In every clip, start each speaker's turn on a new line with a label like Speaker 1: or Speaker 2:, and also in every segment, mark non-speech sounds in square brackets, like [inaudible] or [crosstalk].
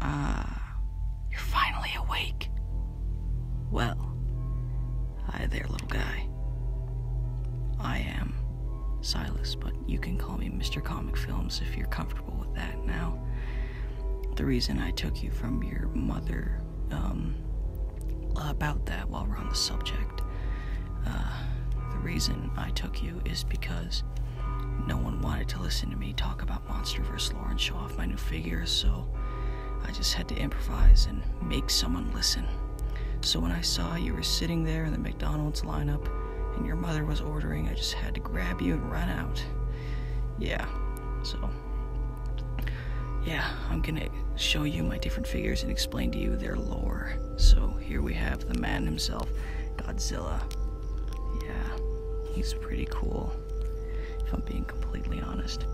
Speaker 1: Ah, you're finally awake. Well, hi there, little guy. I am Silas, but you can call me Mr. Comic Films if you're comfortable with that now. The reason I took you from your mother, um, about that while we're on the subject, uh, the reason I took you is because no one wanted to listen to me talk about monster vs. lore and show off my new figures, so I just had to improvise and make someone listen. So when I saw you were sitting there in the McDonald's lineup and your mother was ordering, I just had to grab you and run out. Yeah, so. Yeah, I'm gonna show you my different figures and explain to you their lore. So here we have the man himself, Godzilla. Yeah, he's pretty cool, if I'm being completely honest.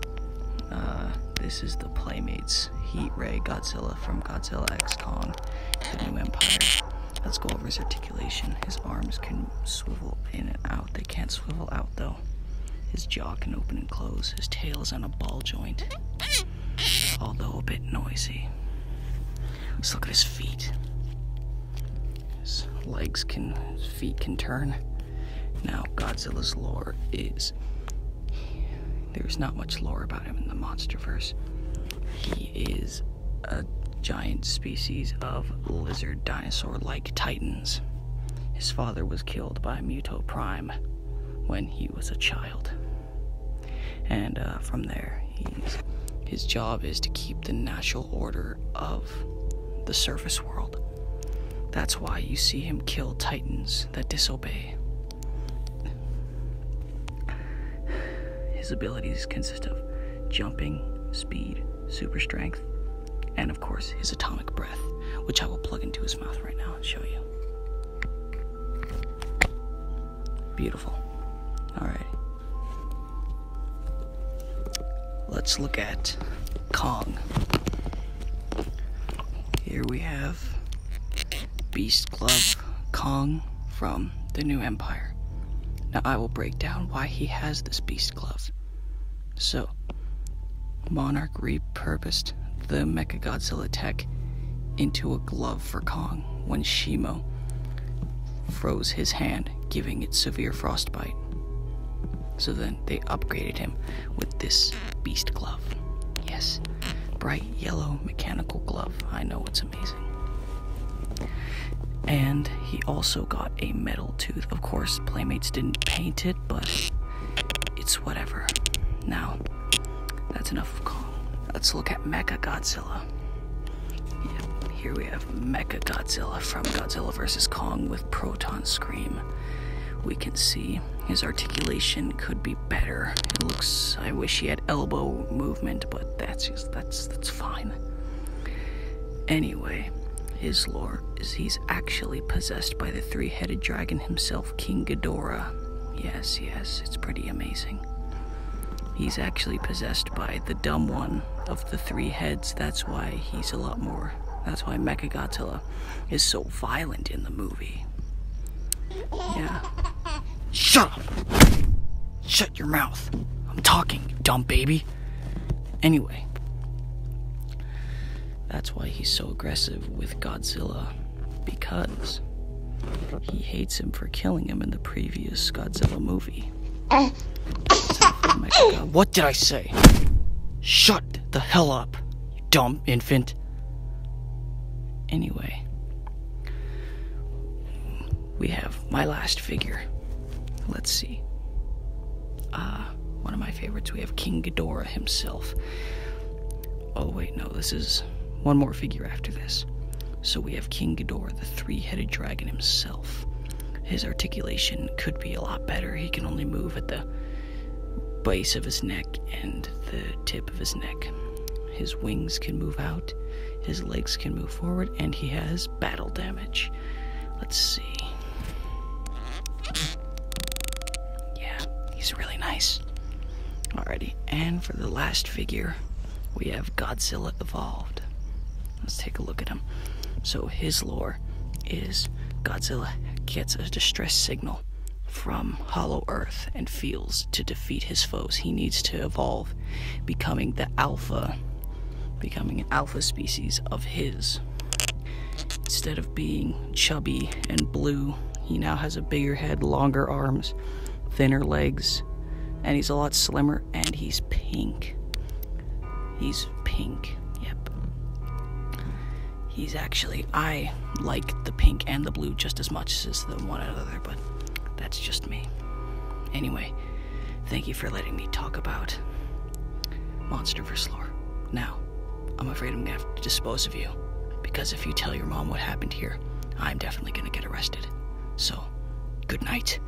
Speaker 1: Uh, this is the Playmates, Heat Ray Godzilla from Godzilla X Kong, the new empire. Let's go over his articulation. His arms can swivel in and out. They can't swivel out though. His jaw can open and close. His tail is on a ball joint although a bit noisy. Let's look at his feet. His legs can, his feet can turn. Now, Godzilla's lore is. There's not much lore about him in the Monsterverse. He is a giant species of lizard dinosaur like titans. His father was killed by Muto Prime when he was a child. And uh, from there, his job is to keep the natural order of the surface world. That's why you see him kill titans that disobey. His abilities consist of jumping, speed, super strength, and of course his atomic breath which I will plug into his mouth right now and show you. Beautiful. Alright. Let's look at Kong. Here we have Beast Glove Kong from the New Empire. Now I will break down why he has this beast. Glove. So, Monarch repurposed the Mechagodzilla tech into a glove for Kong when Shimo froze his hand, giving it severe frostbite. So then they upgraded him with this beast glove. Yes, bright yellow mechanical glove. I know it's amazing. And he also got a metal tooth. Of course, Playmates didn't paint it, but it's whatever. Now, that's enough of Kong. Let's look at Mecha Godzilla. here we have Mecha Godzilla from Godzilla vs. Kong with Proton Scream. We can see his articulation could be better. It looks I wish he had elbow movement, but that's just that's that's fine. Anyway, his lore is he's actually possessed by the three headed dragon himself, King Ghidorah. Yes, yes, it's pretty amazing. He's actually possessed by the dumb one of the three heads. That's why he's a lot more. That's why Mechagodzilla is so violent in the movie. Yeah. Shut up! Shut your mouth. I'm talking, you dumb baby. Anyway, that's why he's so aggressive with Godzilla. Because he hates him for killing him in the previous Godzilla movie. [coughs] what did I say? Shut the hell up, you dumb infant. Anyway, we have my last figure. Let's see. Ah, one of my favorites. We have King Ghidorah himself. Oh, wait, no, this is one more figure after this. So we have King Ghidorah, the three headed dragon himself. His articulation could be a lot better. He can only move at the base of his neck and the tip of his neck. His wings can move out, his legs can move forward, and he has battle damage. Let's see. Yeah, he's really nice. Alrighty, and for the last figure, we have Godzilla Evolved. Let's take a look at him. So his lore is Godzilla gets a distress signal from Hollow Earth and Fields to defeat his foes. He needs to evolve, becoming the alpha, becoming an alpha species of his. Instead of being chubby and blue, he now has a bigger head, longer arms, thinner legs, and he's a lot slimmer, and he's pink. He's pink, yep he's actually I like the pink and the blue just as much as the one another, but that's just me. Anyway, thank you for letting me talk about Monster vs. Lore. Now, I'm afraid I'm gonna have to dispose of you, because if you tell your mom what happened here, I'm definitely gonna get arrested. So, good night.